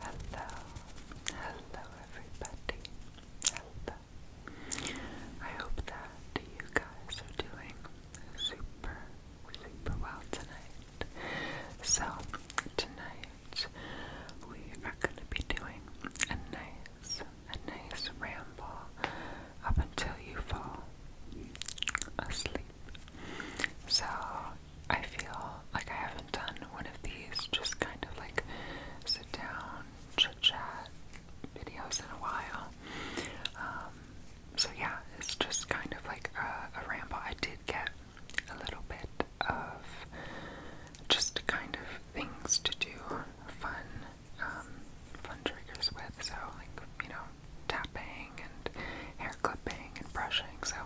Hello, hello everybody. Hello. I hope that you guys are doing super, super well tonight. So, tonight we are going to be doing a nice, a nice ramble up until you fall asleep, so I feel like I haven't done one of these just kind of like sit down, chit chat videos in a while. Um, so yeah, it's just kind of like a, ramble. I did get a little bit of just kind of things to do, fun, um, fun triggers with. So like you know, tapping and hair clipping and brushing. So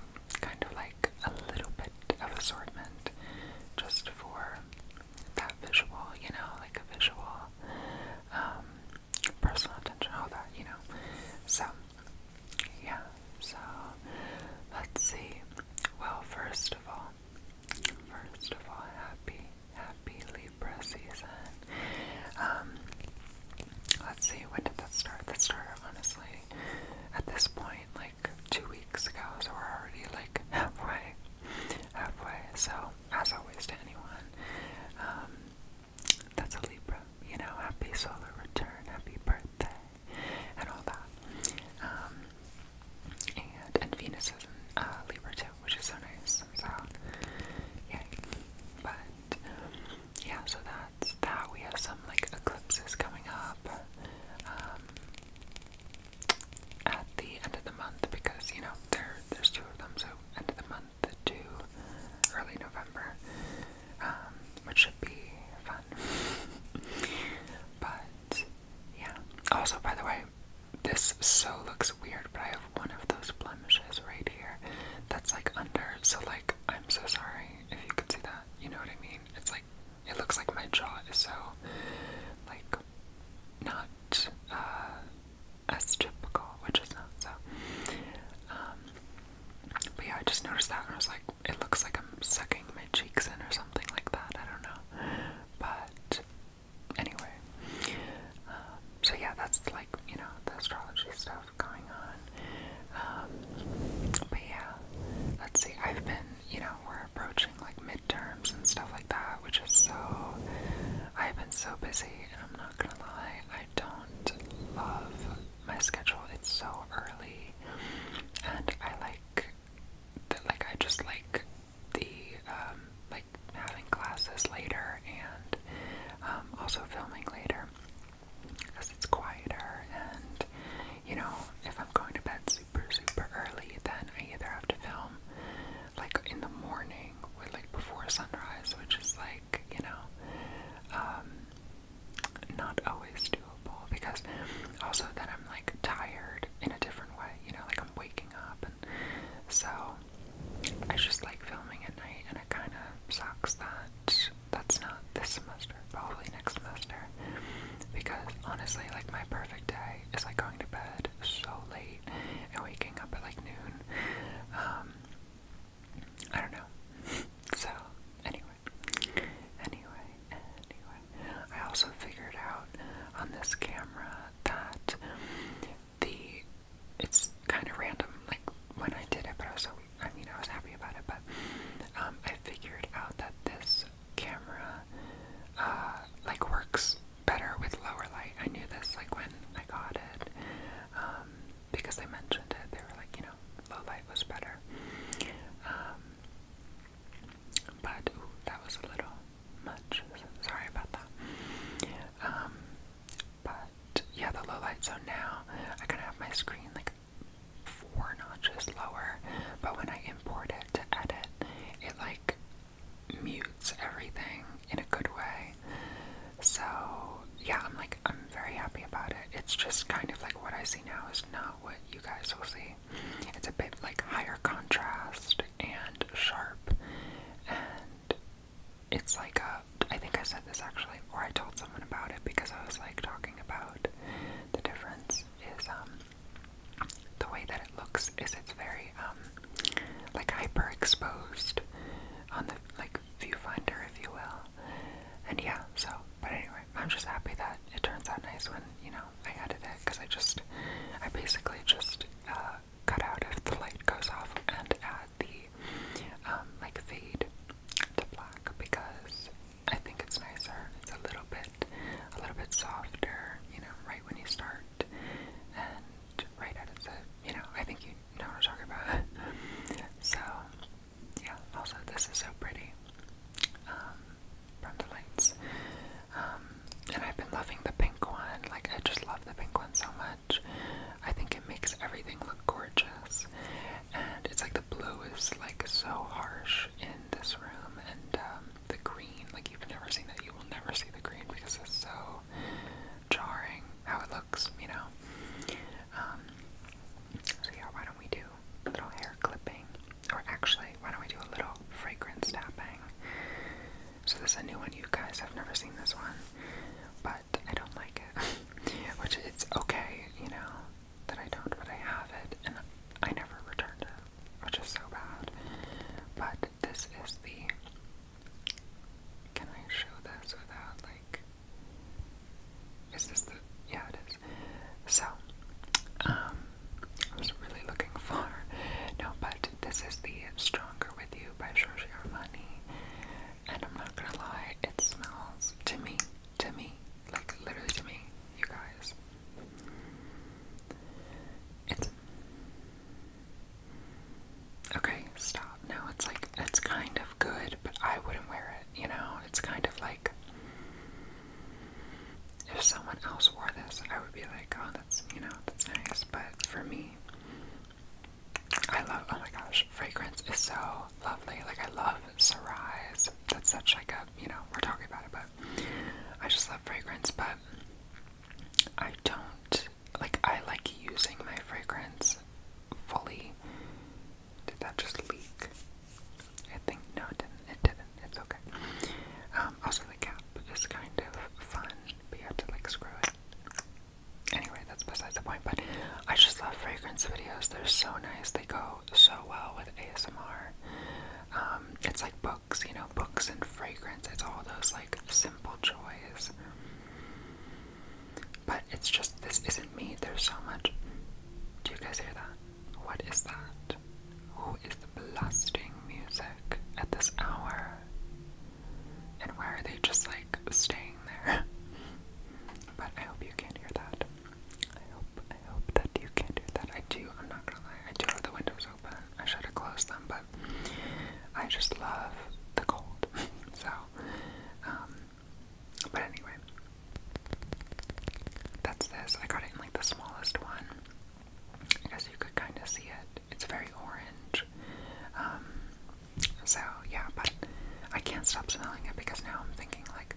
kind of like a little bit of assortment just for that visual, you know, like a visual um, personal attention, all that, you know. So, yeah, so let's see. Well, first of all, first of all, happy, happy Libra season. Um, Let's see, when did that start? That started, honestly, at this point, like two weeks ago, so we're already like halfway. Halfway. So, as always, to anyone, um, that's a Libra. You know, happy solar return, happy birthday, and all that. Um, and, and Venus is in uh, Libra too, which is so nice. So, yeah. But, yeah, so that's that. We have some like eclipses coming up um, at the end of the month because you know there there's two of them. So end of the month to early November, um, which should be fun. but yeah. Also, by the way, this so looks weird, but I have one of those blemishes right here that's like under. So like, I'm so sorry if you could see that, you know what I mean? It's like, it looks like my jaw is so, like, not, uh, as typical, which is not, so, um, but yeah, I just noticed that and I was like, it looks like I'm sucking my cheeks in or something like that, I don't know, but, anyway, um, so yeah, that's like, you know, the astrology stuff, going on. Um, but yeah, let's see. I've been, you know, we're approaching like midterms and stuff like that, which is so. I've been so busy, and I'm not gonna lie, I don't love my schedule. It's so early, and I like that. Like I just like the um, like having classes later and um, also filming later because it's quieter and you know if I'm going to bed super super early then I either have to film like in the morning or like before sunrise which is like you know um not always doable because also then I'm like tired in a different way you know like I'm waking up and so I just like filming at night and it kind of sucks that that's not this semester, probably next semester. Because honestly, like my perfect day is like going to bed so late and waking up at like noon. Um, I don't know. So anyway, anyway, anyway, I also figured out on this camera that the it's kind of random. Like when I did it, but I was so I mean, I was happy about it, but um, I figured out that this camera uh, like works better with lower light. I knew this like when I got it um, because they mentioned it. They were like, you know, low light was better. Um, but ooh, that was a little much. Sorry about that. Um, but yeah, the low light. So now I kind of have my screen like four notches lower, but when I import it to edit, it like mutes everything in a good way. So, yeah, I'm like, I'm very happy about it. It's just kind of like what I see now is not what you guys will see. It's a bit like higher contrast and sharp, and it's like a I think I said this actually, or I told someone about it because I was like talking about the difference is um, the way that it looks is it's very um like hyper on the like viewfinder if you will. And yeah, so but anyway, I'm just happy that it turns out nice when, you know, I added it because I just I basically just uh, cut out if the light goes off and add the um like fade to black because I think it's nicer. It's a little bit, a little bit softer, you know, right when you start and right at its, you know, I think you know what I'm talking about. so, yeah, also this is so pretty um, from the lights. Um, and I've been loving the pink one. Like, I just love the pink one so much. I think it makes everything look gorgeous and it's like the blue is like so harsh in this room, and um, the green, like you've never seen that, you will never see the green because it's so jarring how it looks, you know. Um, so yeah, why don't we do a little hair clipping, or actually, why don't we do a little fragrance tapping? So this is a new one, you guys have never seen this one, but I don't like it, which it's okay, you know that I don't, but I have it, and I never returned it, which is so bad. But this is the. Can I show this without, like. Is this the. Yeah, it is. So, um, I was really looking for. No, but this is the Stronger With You by Giorgio And I'm not gonna lie, it smells to me to me, like literally to me, you guys. It's okay. Stop. No, it's like it's kind of good, but I wouldn't wear it. You know, it's kind of like if someone else wore this, I would be like, oh, that's you know, that's nice. But for me, I love. Oh my gosh, fragrance is so lovely. Like I love Syrah's. That's such like a you know we're talking about it, but I just love fragrance. But I don't like I like using my fragrance fully. Did that just leak? I think no, it didn't. It didn't. It's okay. Um, also, the cap is kind of fun, but you have to like screw it. Anyway, that's beside the point, but I just love fragrance videos. They're so nice. They go so well with ASMR. Um, it's like books, you know, books and fragrance. It's all those like simple joys. But it's just, this isn't me. There's so much. Do you guys hear that? What is that? Who is blasting music at this hour? And where are they just like staying there. But I hope you can hear that. I hope I hope that you can't hear that. I do, I'm not gonna lie, I do have the windows open. I should have closed them, but I just love the cold. so um but anyway. That's this. I got it in like the smallest one. I guess you could kind of see it. It's very orange. Um, so yeah, but I can't stop smelling it because now I'm thinking like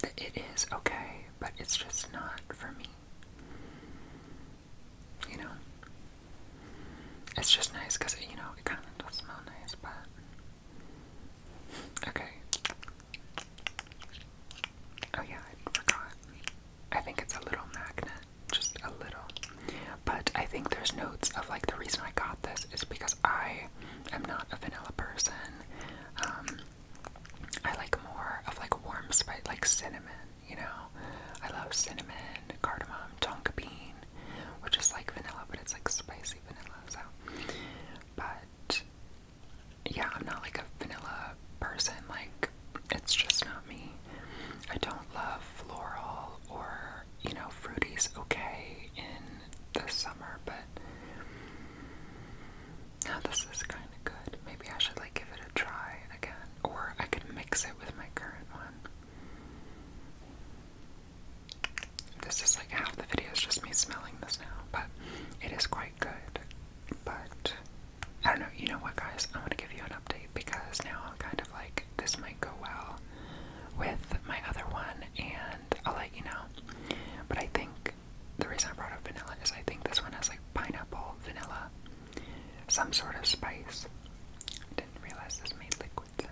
that it is okay, but it's just not for me. You know, it's just nice because you know it kind of does smell nice, but okay. Oh yeah, I forgot. I think it's a little magnet, just a little. But I think there's notes of like the reason I got this is because I I'm not a vanilla person. Um, I like more of like warm spice, like cinnamon. You know, I love cinnamon, cardamom, tonka bean, which is like vanilla, but it's like spicy vanilla. So, but yeah, I'm not like a vanilla person. Like, it's just not me. I don't love floral or you know, fruity's okay in the summer, but now this is kind of good. Maybe I should like give it a try again, or I could mix it with my current one. This is like half the video is just me smelling this now, but it is quite good. But I don't know. You know what, guys? I am going to give you an update because now I'm kind of like this might go well with my other one and I'll let you know. But I think the reason I brought up vanilla is I think this one has like pineapple, vanilla, some sort of spice. I didn't realize this made liquid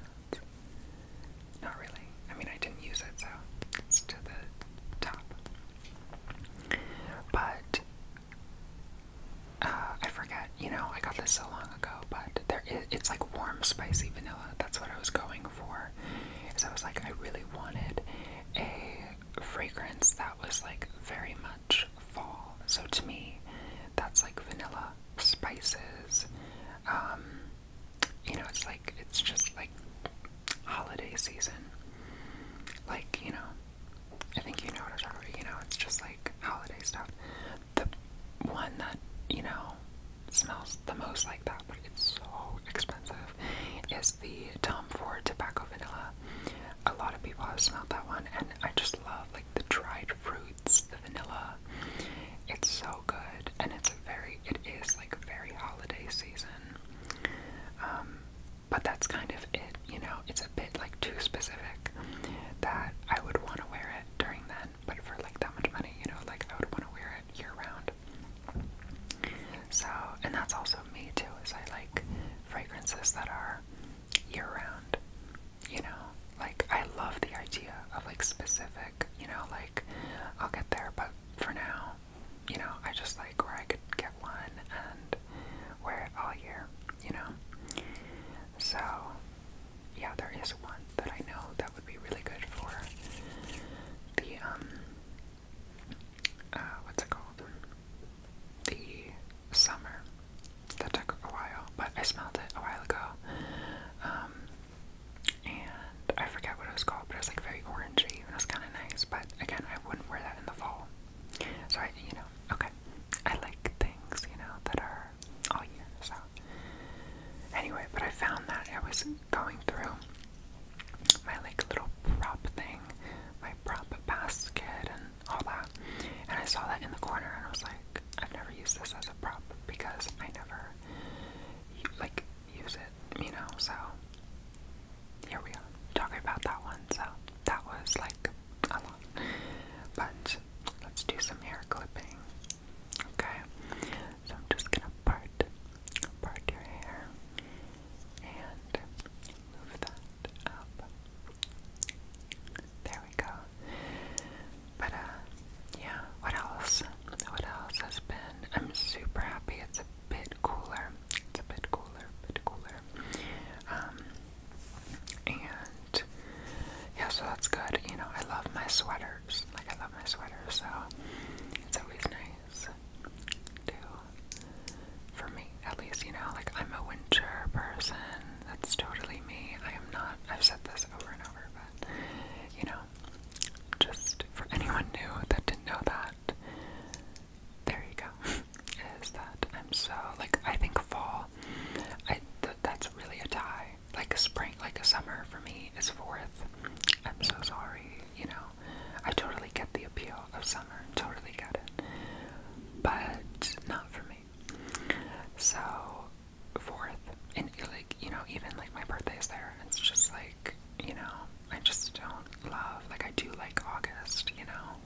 Not really. I mean, I didn't use it, so it's to the top. But uh, I forget. You know, I got this so long ago, but there is, it's like warm, spicy vanilla. That's what I was going going for is I was like, I really wanted a fragrance that was like very much fall. So to me, that's like vanilla, spices, um, you know, it's like, it's just like holiday season. Like, you know, I think you know what I'm talking about, you know, it's just like holiday stuff the one that, you know, smells the most like that, but it's so expensive, is the Tom Ford Tobacco Vanilla. A lot of people have smelled that one, and I just love, like, the dried fruits, the vanilla. It's so good, and it's a very, it is, like, a very holiday season. Um, but that's kind of it, you know, it's a bit, like, too specific that I would want to wear it during that but for like that much money, you know, like I would want to wear it year round. So, and that's also me too, is I like fragrances that are year round, you know, like I love the idea of like specific, you know, like I'll get there, but for now, you know, I just like where I could get one and wear it all year, you know. So, yeah, there is one that I know that would be really good for the, um, uh, what's it called? The summer. That took a while, but I smelled it a while ago. Um, and I forget what it was called, but it was like very orangey and it was kind of nice. But again, I wouldn't wear that in the fall. So I, you know, okay. I like things, you know, that are all year. So Anyway, but I found that I was going through my like little prop thing, my prop basket and all that. And I saw that in the corner and I was like, I've never used this as a prop because I never like use it, you know, so here we are talking about that one. So that was like a lot. But let's do some hair clipping. Okay, so I'm just gonna part, part your hair, and move that up. There we go. But uh, yeah. What else? What else has been? I'm super happy. It's a bit cooler. It's a bit cooler. Bit cooler. Um, and yeah, so that's good. You know, I love my sweater. Like, I love my sweaters, so it's always nice to, for me at least, you know, like, I'm a winter person. That's totally me. I am not, I've said this over and over, but, you know, just for anyone new that didn't know that, there you go, is that I'm so, like, I think fall, I th that's really a tie like a spring, like a summer for me is fourth. I'm so sorry, you know. I totally get the appeal of summer, totally get it, but not for me. So, fourth, and like, you know, even like my birthday is there, it's just like, you know, I just don't love, like, I do like August, you know,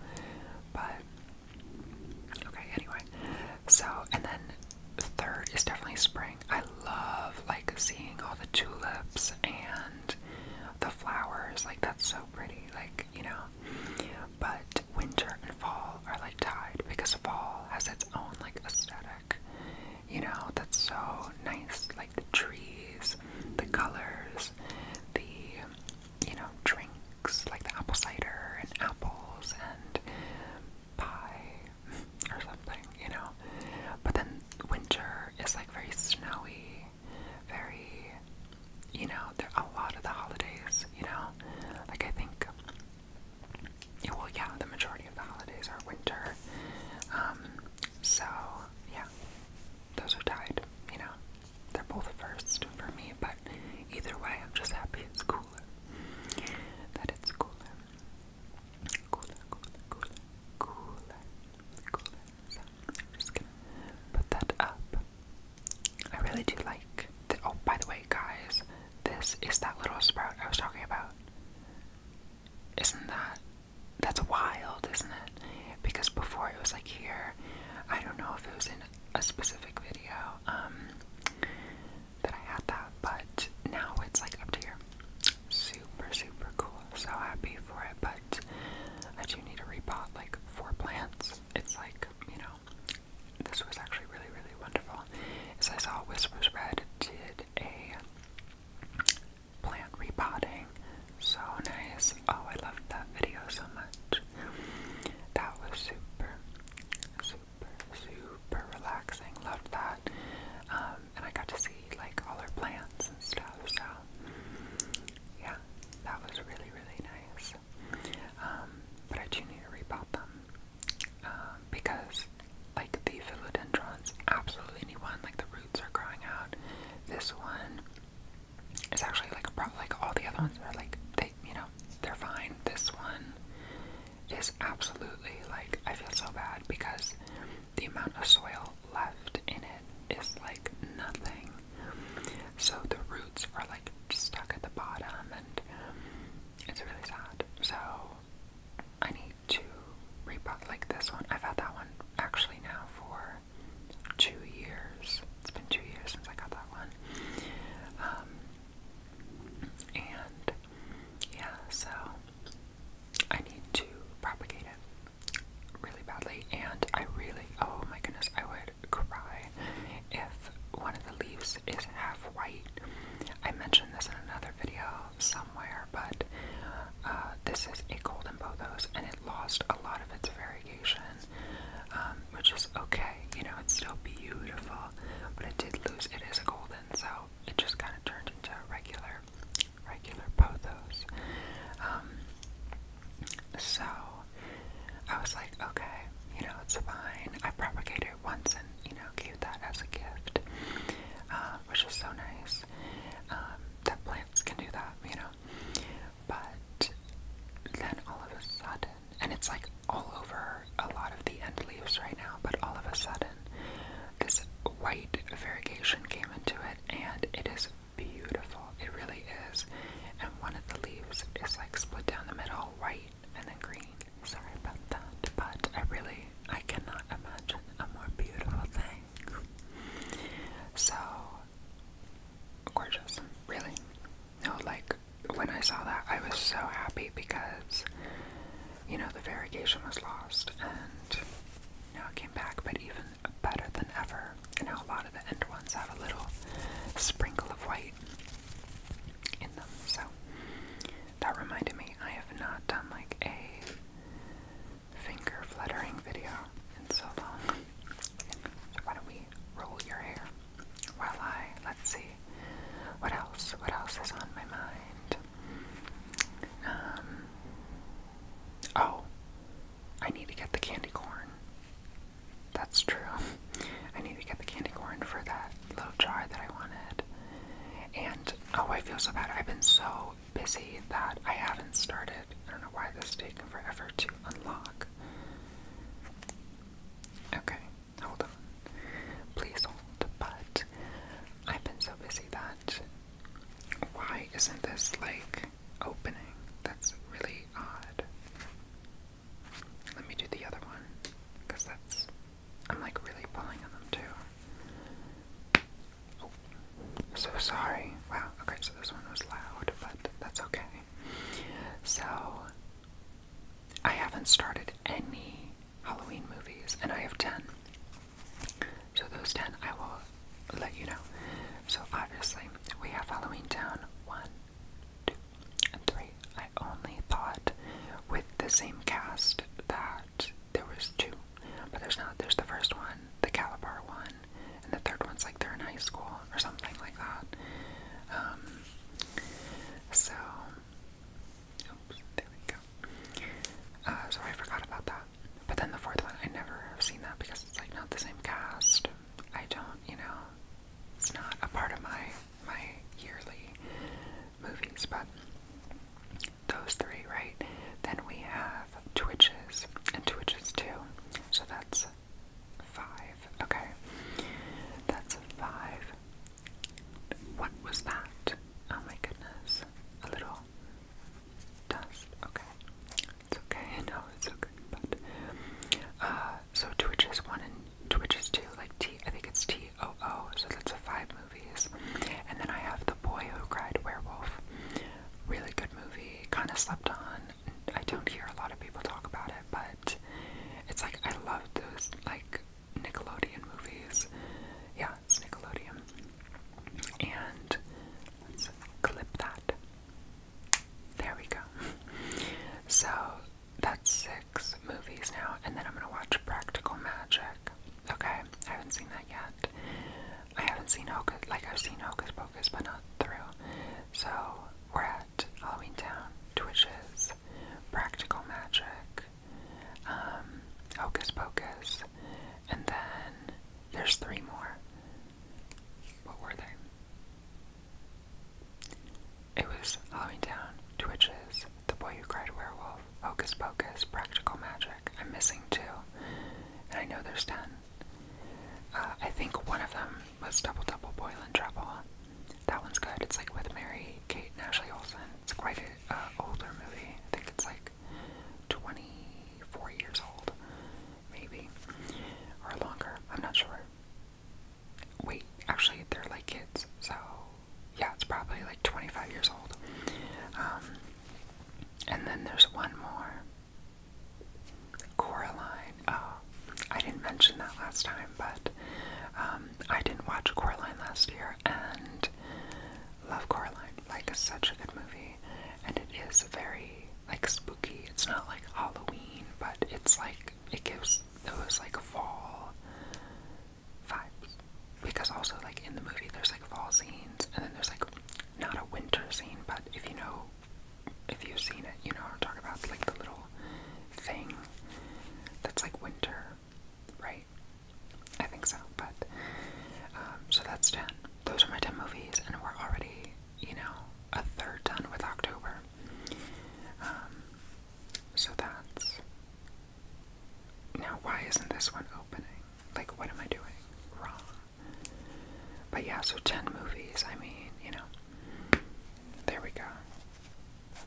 but okay, anyway, so, and then third is definitely spring. I love like seeing all the tulips and the flowers. Like that's so pretty. Like, you know. But winter and fall are like tied because fall has its own like aesthetic. You know, that's so nice. Like the trees, the colors, the you know, drinks like the apple cider and apples and pie or something, you know. But then winter is like very snowy, very, you know, a lot of the holidays, you know. Like I think, well, yeah, the majority of the holidays are winter. Um, so yeah, those are tied, you know. They're both first for me, but either way, I'm just happy it's cooler. That it's cooler cooler, cooler, cooler, cooler, just gonna put that up. I really do like. oh, by the way, guys, this is that little sprout I was talking about. Isn't that? That's wild, isn't it? Because before it was like here. I don't know if it was in a specific video. Um, that I had that, but now it's like up to here. Super, super cool. So happy for it, but I do need to repot like four plants. It's like, you know, this was actually really, really wonderful. As I saw, Whispers Red did a plant repotting. So nice. Oh, I loved that video so much. That was super, super super relaxing. Loved that. Um, and I got to see like all her plants and stuff. So yeah, that was really really nice. Um, but I do need to repot them um, because like the philodendrons, absolutely need one. like the roots are growing out. This one is actually like a Like all the other ones are like they, you know, they're fine. This one is absolutely like I feel so bad because the amount of soil left in it is like nothing. So the roots are like stuck at the bottom and it's really sad. So I need to repot like this one. I've had that one actually now for two years. It's been two years since I got that one. Um, and yeah, so I need to propagate it really badly. And I really, oh my goodness, I would cry if one of the leaves is half white. I mentioned this in another video somewhere, but uh, this is a golden pothos and it lost a lot of its variegation, um, which is okay. You know, it's still beautiful, but it did lose. It is a golden, so it just kind of turned into a regular, regular pothos. Um, so I was like, okay, you know, it's fine. I propagated once and, you know, gave that as a gift, uh, which is so nice um, that plants can do that, you know. But then all of a sudden, and it's like all over a lot of the end leaves right now, but all of a sudden, this white variegation came into it, and it is beautiful. It really is. And one of the leaves is like split down the middle, white and then green. Sorry about that, but I really, I cannot imagine a more beautiful thing. So gorgeous, really. No, like when I saw that, I was so happy because you know, the variegation was lost and now it came back, but even better than ever. And now a lot of the end ones have a little sprinkle of white in them. So that reminded me I have not done like a finger fluttering video in so long. So why don't we roll your hair while I let's see what else what else is on my mind? Um, oh, I need to get the candy corn. That's true. I need to get the candy corn for that little jar that I wanted. And oh, I feel so bad. I've been so busy that I haven't started. I don't know why this is taking forever to unlock. Okay, hold on. Please hold. But I've been so busy that why isn't this like opening? That's really odd. Let me do the other one because that's I'm like really pulling on them too. Oh, so sorry. Wow. Okay, so this one was loud, but that's okay. So I haven't started any Halloween movies, and I have 10. So, those 10 I will let you know. So, obviously, we have Halloween Town 1, 2, and 3. I only thought with the same cast that there was two, but there's not. There's the first one, the Calabar one, and the third one's like they're in high school or something like that. Um, so Oops, there we go. Uh, so I forgot about that. But then the fourth one, I never have seen that because it's like not the same cast. I don't, you know, it's not a part of my my yearly movies. But those three, right? Then we have Twitches and Twitches too. So that's five. Okay, that's five. What was that? Oh my goodness. A little dust. Okay. It's okay. No, it's okay. But, uh, so Twitch is one and Twitch is two. Like T, I think it's T O O. So that's a five movies. And then I have The Boy Who Cried Werewolf. Really good movie. Kind of slept on. I don't hear a lot of people talk about it, but it's like I love those like Nickelodeon movies. Yeah, it's Nickelodeon. And let's clip that. There we go. So that's six movies now, and then I'm gonna watch Practical Magic. Okay, I haven't seen that yet. I haven't seen Hocus, like I've seen Hocus Pocus, but not through. So we're at Halloween Town, Twitches, Practical Magic, um, Hocus Pocus, and then there's three more. What were they? It was Halloween Town, Twitches, The Boy Who Cried Werewolf, Hocus Pocus, Practical Magic. I'm missing two, and I know there's ten. Uh, I think one of them was Double Double Boil and Trouble. That one's good. It's like with Mary Kate and Ashley Olsen. It's quite a uh, older movie. I think it's like 24 years old, maybe, or longer. I'm not sure. Wait, actually, they're like kids, so yeah, it's probably like 25 years old. Um, and then there's one more Coraline. Uh, I didn't mention that last time, but um, I didn't watch Coraline last year, and but love Coraline. Like, it's such a good movie, and it is very like spooky. It's not like Halloween, but it's like it gives those like fall vibes. Because also like in the movie, there's like fall scenes, and then there's like not a winter scene, but if you know, if you've seen it, you know what I'm talking about. It's like the little thing that's like winter right? I think so, but um, so that's 10. Those are my 10 movies, and we're already, you know, a third done with October. Um, so that's now, why isn't this one opening? Like, what am I doing wrong? But yeah, so 10 movies, I mean, you know, there we go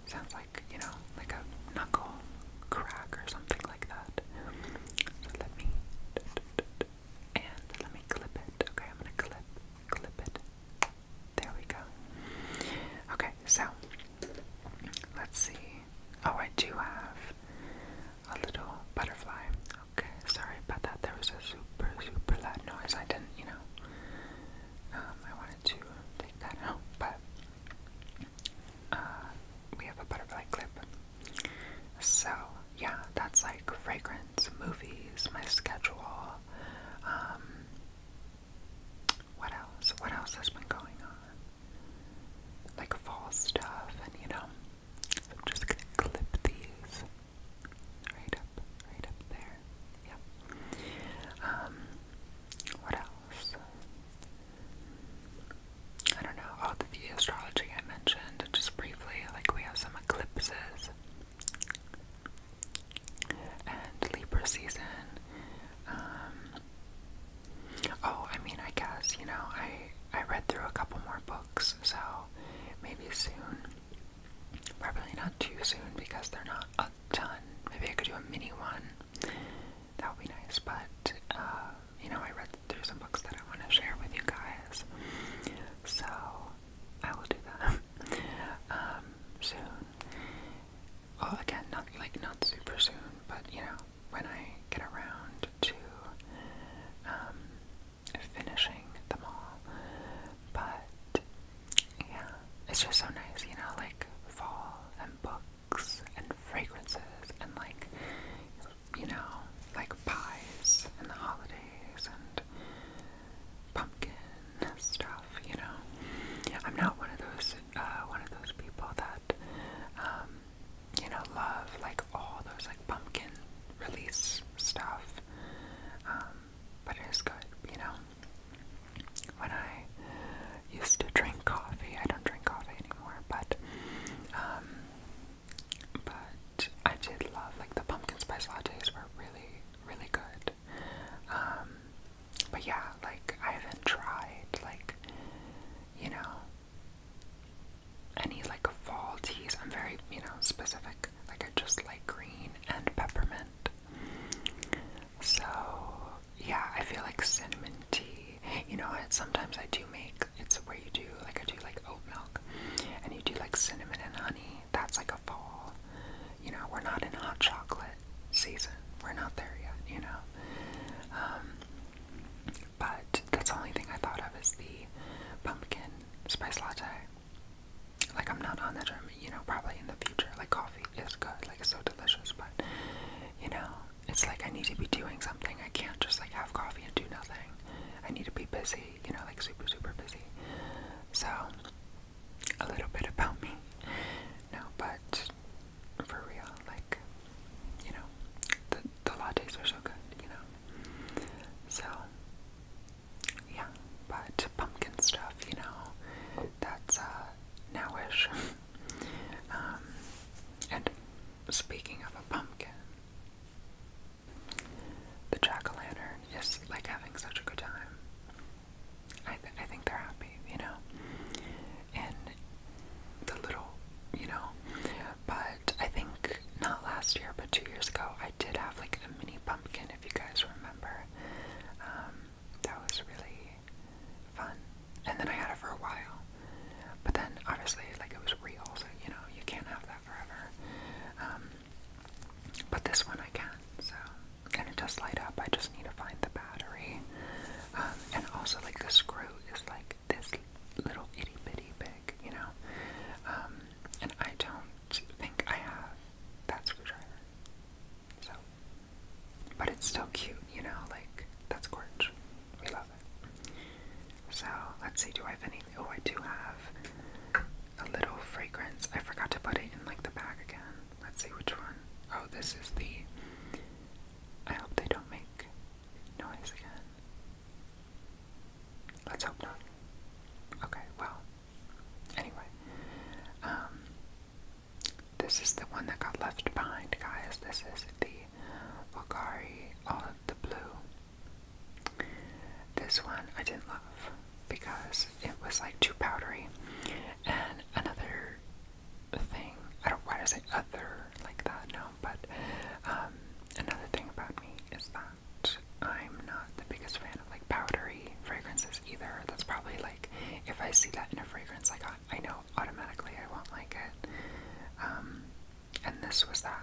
sounds like, you know, like a knuckle crack or something like that. So let me, and let me clip it. Okay, I'm gonna clip, clip it. There we go. Okay, so let's see. Oh, I do have a little butterfly. Okay, sorry about that. There was a super, super loud noise. I didn't, you know, um, I wanted to take that out, but uh, we have a butterfly clip. So, yeah, that's like fragrance, movies, my schedule. Um, what else? What else has been going on? Like fall stuff, and you know, I'm just gonna clip these right up, right up there. Yep. Um, what else? I don't know, all the, astrology I mentioned just briefly, like we have some eclipses and Libra season. Um, oh, I mean, I guess, you know, I, I read through a couple more books, so maybe soon. Probably not too soon because they're not a ton. Maybe I could do a mini one that would be nice. But uh, you know, I read there's some books that I want to share with you guys, so I will do that um, soon. Well, again, not like not super soon, but you know, when I get around to um, finishing them all. But yeah, it's just so nice, you know, like fall and books cakes and fragrances and like you know, like pies and the holidays and pumpkin stuff, you know. I'm not one of those uh, one of those people that um, you know, love like all those like pumpkin release stuff. Um, but it is good, you know when I used to drink coffee. I don't drink coffee anymore, but um, but I did love like the pumpkin spice lattes were really really good. Um, but yeah, like I haven't tried like you know any like fall teas. I'm very you know specific. Like I just like green and peppermint. So yeah, I feel like cinnamon tea. You know what? Sometimes I do make it's where you do like I do like oat milk and you do like cinnamon and honey. That's like a fall. You know, we're not in hot chocolate season. We're not there yet, you know. Um but that's the only thing I thought of is the pumpkin spice latte. Like I'm not on the German, you know, probably in the future, like coffee coffee is good, like it's so delicious, but you know, it's like I need to be doing something. I can't just like have coffee and do nothing. I need to be busy, you know, like super, super busy. So, a little bit about me. No, but for real, like, you know, the, the lattes are so good, you know. So, yeah, but pumpkin stuff, you know, that's uh, nowish. Um, and speaking of a pumpkin, the jack o' lantern is like having such a good time. I, I think they're happy, you know? And the little, you know? But I think not last year, but two years ago, I did have like a mini pumpkin, if you guys remember. Um, that was really fun. And then I had it for a while. But then obviously like it was real, so you know, you can't have that forever. Um, but this one I can, so and it does light up. I just need to find the battery. Um, and also like the screw is like this little itty bitty big, you know. Um, and I don't think I have that screwdriver. So, but it's still cute, you know, like that's gorge. We love it. So, let's see, do I have anything? Oh, I do have a little fragrance. I forgot to put it in like the bag again. Let's see which one. Oh, this is the. I hope they don't make noise again. Let's hope not. Okay, well, anyway. Um, this is the one that got left behind, guys. This is the Vulgari All uh, the Blue. This one I didn't love because it was like too powdery. And another thing, I don't why does say other like that, no, but um, another thing about me is that I'm not the biggest fan of like powdery fragrances either. That's probably like if I see that in a fragrance, I got I know automatically I won't like it. Um, and this was that.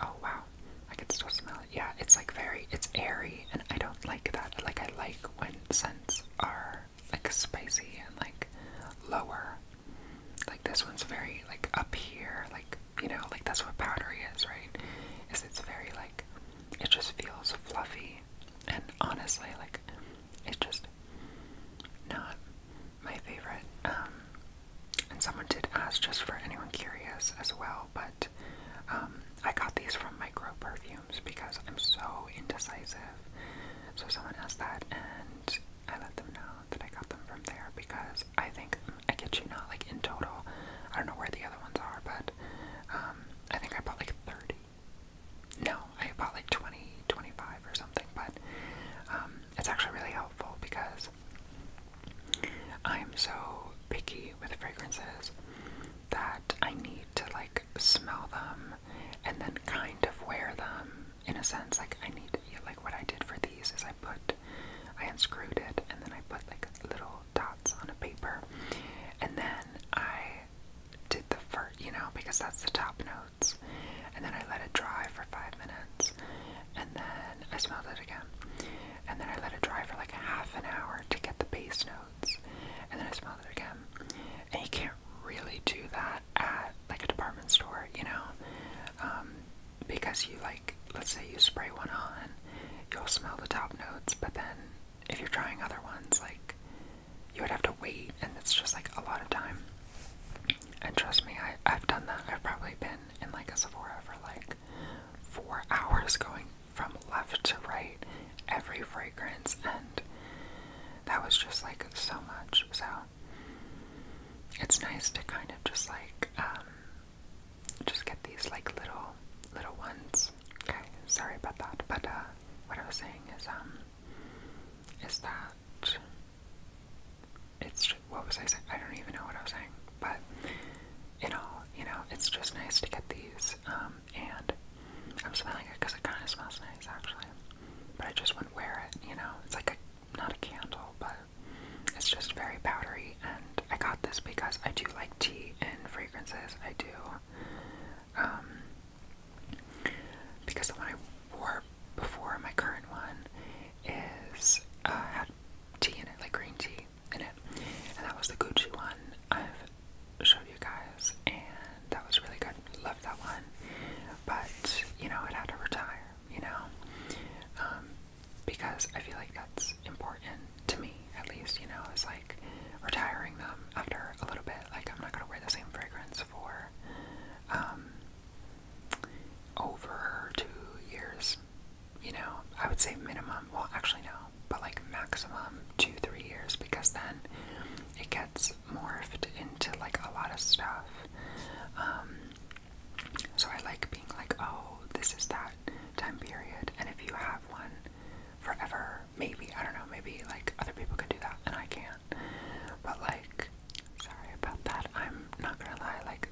Oh wow, I can still smell it. Yeah, it's like very, it's airy, and I don't like that. Like, I like when scents are like spicy and like lower. Like, this one's very like up here, like, you know, like that's what powdery is, right? Is it's very like, it just feels fluffy and honestly, like, it's just not my favorite. Um, and someone did ask, just for anyone curious as well, but um, I got these from Micro Perfumes because I'm so indecisive. So someone asked that, and I let them know that I got them from there because I think, mm, I get you not, like in total, I don't know where the other ones are, but um, I think I bought like 30 no, I bought like 20, 25 or something, but um, it's actually really helpful because I'm so picky with fragrances that I need to like smell them and then kind of wear them in a sense. Like, I need, like, what I did for these is I put, I unscrewed it and then I put like little dots on a paper. And then I did the first, you know, because that's the top notes. And then I let it dry for five minutes. And then I smelled it again. And then I let it dry for like half an hour to get the base notes. And then I smelled it again. And you can't really do that at like a department store, you know? Um, because you like, let's say you spray one on, you'll smell the top notes, but then if you're trying other ones, like you would have to wait, and it's just like a lot of time. And trust me, I, I've done that. I've probably been in like a Sephora for like four hours going from left to right, every fragrance, and that was just like so much. So it's nice to kind of just like um, just get these like little little ones Okay, sorry about that. But uh, what I was saying is, um, is that it's just, what was I saying? I don't even know what I was saying. But you know, you know, it's just nice to get these. Um, and I'm smelling it because it kind of smells nice, actually. But I just wouldn't wear it. You know, it's like a not a candle, but it's just very powdery. And I got this because I do like tea and fragrances. I do um, because the one I wore before my current one is uh, had tea in it, like green tea in it, and that was the Gucci one I've showed you guys, and that was really good. Loved that one, but you know it had to retire, you know, um, because I feel like that's important to me at least, you know, it's like retiring them after a little bit. Like I'm not gonna wear the same fragrance for um, over two years. You know, I would say minimum, well actually no, but like maximum two, three years because then it gets morphed into like a lot of stuff. Um, so I like being like, oh, this is that time period and if you have one forever maybe I don't know. Maybe like other people can do that and I can't. But like, sorry about that. I'm not gonna lie. Like,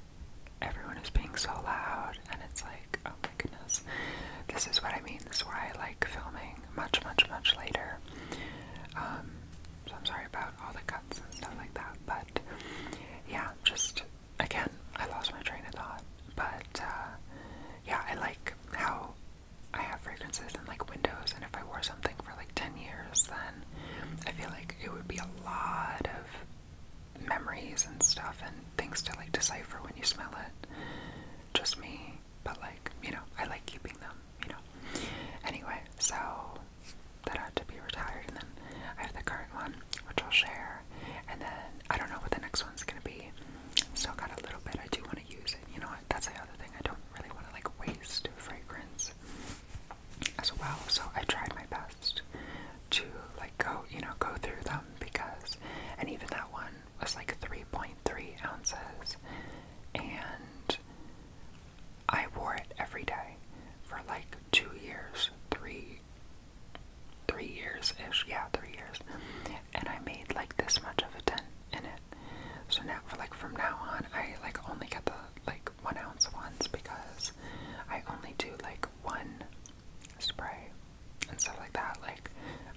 everyone is being so loud, and it's like, oh my goodness. This is what I mean. This is why I like filming much, much, much later. Um, so I'm sorry about all the cuts and stuff like that. But yeah, just again, I lost my train of thought. But uh, yeah, I like how I have fragrances in like windows, and if I wore something for like 10 years, then I feel like it would be a lot of memories and stuff and things to like decipher when you smell it. Just me, but like, you know, I like keeping them, you know. Anyway, so that ought to be retired, and then I have the current one, which I'll share, and then I don't know what the next one's gonna be. Still got a little bit. I do want to use it. You know what? That's the other thing. I don't really want to like waste fragrance as well. So I tried my best to like go, you know, go through them because, and even that one was like 3.3 ounces, and I wore it every day for like two years, three, three years ish, yeah, three years, and I made like this much of a dent in it. So now, for like from now on, I like only get the like one ounce ones because I only do like one spray and stuff like that. Like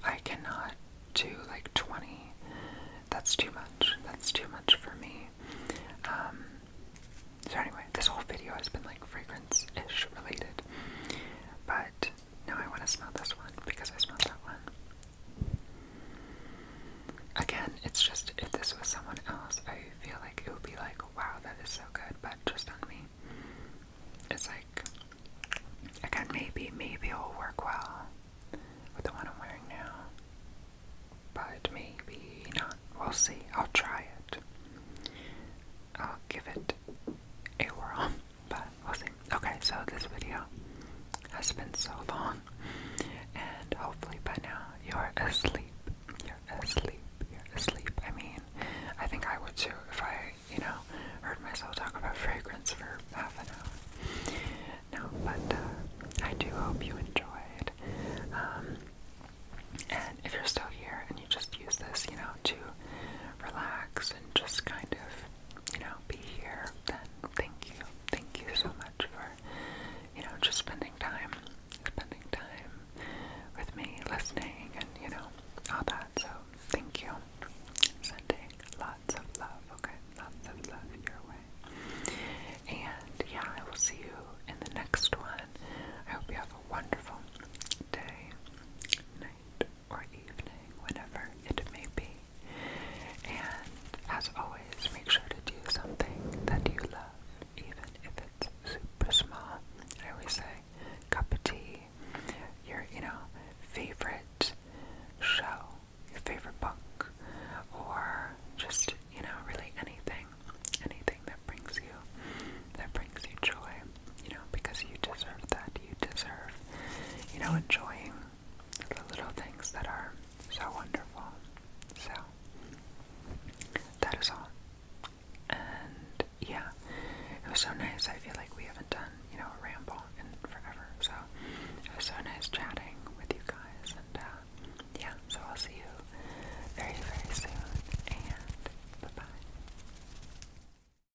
I cannot do like 20. That's too much. That's too much for me. Um, so anyway, this whole video has been like fragrance-ish related, but no, I want to smell this one because I smelled that one. Again, it's just if this was someone else, I feel like it would be like, wow, that is so good, but just on me. It's like, again, maybe, maybe it'll work well with the one I'm wearing now. But maybe not. We'll see. I'll try it. I'll give it a whirl. but we'll see. Okay, so this video has been so long, and hopefully by now you're asleep. You're asleep. You're asleep. I mean, I think I would too if I, you know, heard myself talk about fragrance for half an hour. No, but uh, I do hope you enjoyed. Um, and if you're still here and you just use this, you know, to relax and just kind of you know, be here, then thank you. Thank you so much for, you know, just spending time, spending time with me, listening, and, you know, all that. So, thank you. Sending lots of love, okay? Lots of love your way. And, yeah, I will see you in the next one. I hope you have a wonderful day, or evening, whenever it may be. And as always, make sure to do something that you love, even if it's super small. I always say, cup of tea, your, you know, favorite show, your favorite book, or just, you know, really anything, anything that brings you, that brings you joy you know, because you deserve that. You deserve, you know, enjoying the little things that are so wonderful. So, that is all. And yeah, it was so nice. I feel like we haven't done, you know, a ramble in forever. So, it was so nice chatting with you guys. And uh, yeah, so I'll see you very, very soon. And bye bye.